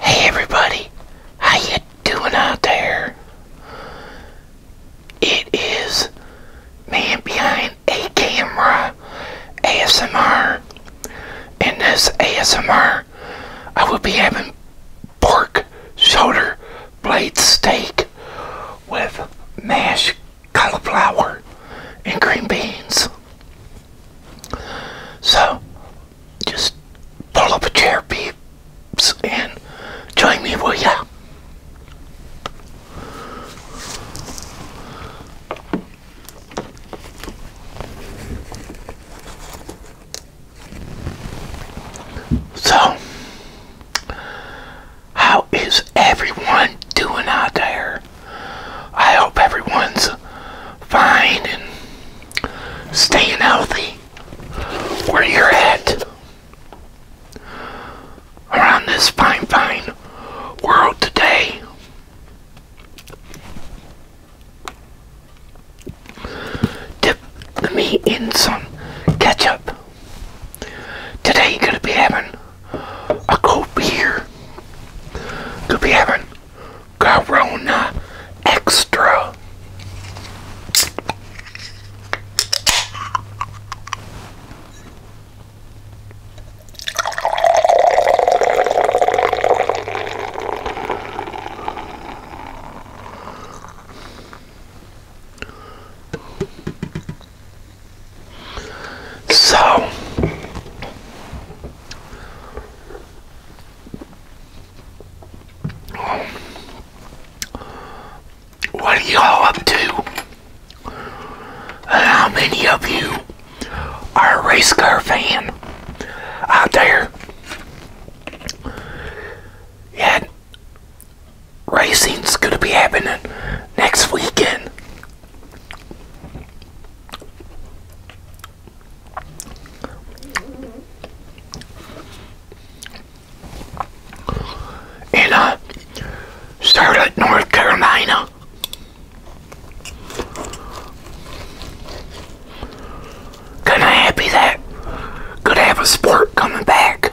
Hey everybody, how you doing out there? It is man behind a camera ASMR. In this ASMR, I will be having pork shoulder blade steak with mashed cauliflower and green beans. So, just pull up a chair, peeps, and join me, will ya? So, how is everyone doing out there? I hope everyone's fine and staying healthy where you're at around this fine, fine world today. Dip the meat in some ketchup. Today, you're going to be having a cold beer. Could be having Corona Extra. So, what are you all up to? How many of you are a race car fan out there? Yet, racing's going to be happening next weekend in uh, Charlotte, North Carolina. Kind of happy that could have a sport coming back.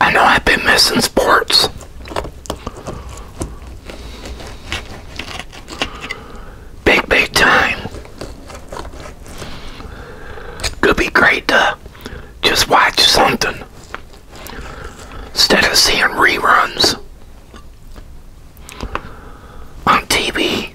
I know I've been missing sports. Big, big time. Could be great to just watch something instead of seeing reruns on TV.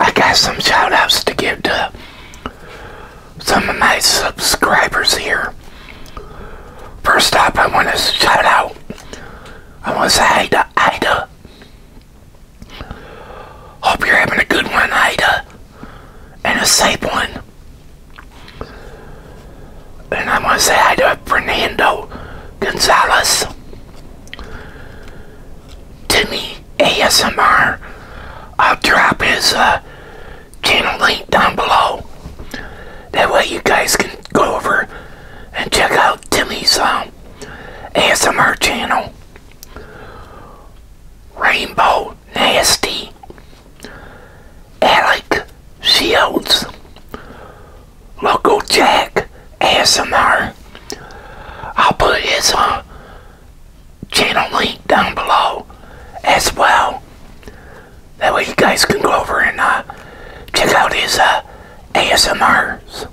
I got some shout outs to give to some of my subscribers here. First up, I want to shout out. I want to say hi to Ida. Hope you're having a good one, Ida, and a safe one. And I am going to say hi to Fernando Gonzalez, Timmy ASMR. I'll drop his uh, channel link down below. That way you guys can go over and check out Timmy's um, ASMR channel. Rainbow Nasty, Alec Shields, Local Jack ASMR. I'll put his uh, channel link down below as well. That way you guys can go over and uh, check out his uh, ASMRs.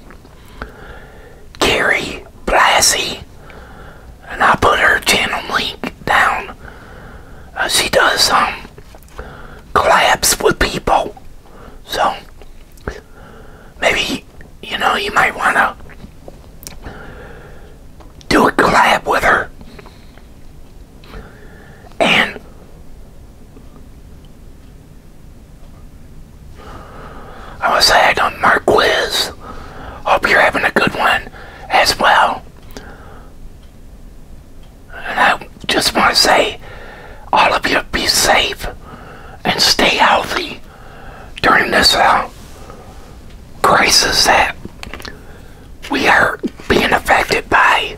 Gary Blasi and i put her channel link down. Uh, she does um collabs with people, so maybe you know you might want to do a collab with her. And I was had on Mark Wiz. Hope you're having a good one as well. And I just want to say, all of you be safe and stay healthy during this uh, crisis that we are being affected by.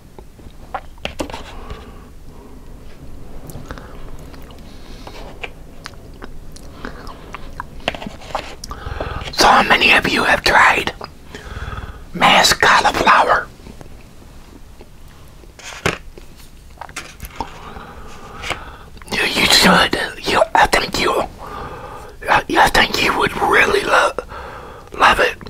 So, many of you have tried mashed cauliflower? You should. You, I think you. I think you would really love love it.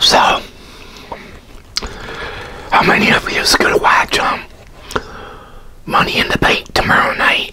So, how many of you gonna watch um Money in the Bank tomorrow night?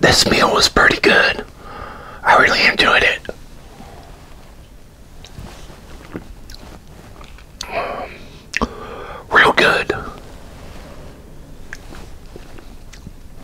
This meal was pretty good. I really enjoyed it. Real good.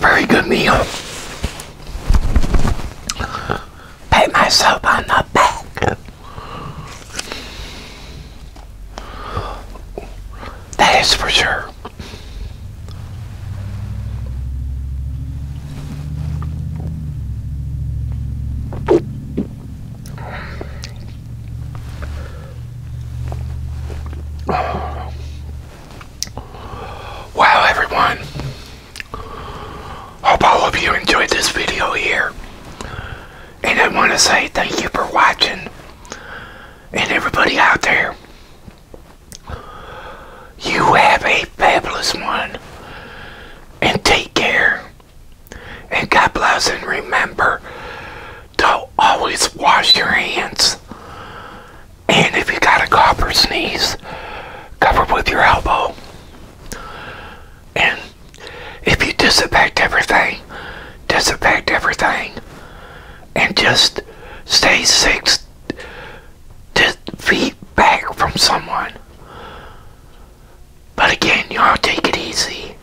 Very good meal. Pat myself on the back. That is for sure. Wow, everyone. Hope all of you enjoyed this video here. And I want to say thank you for watching. And everybody out there, you have a fabulous one. And take care. And God bless. And remember to always wash your hands. And if you got a cough or sneeze, cover with your elbow. And if you disinfect everything, disinfect everything and just stay six feet back from someone. But again, y'all take it easy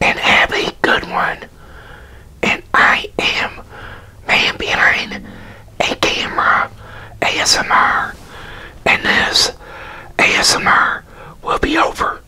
and have a good one. And I am man behind a camera ASMR, and this ASMR will be over.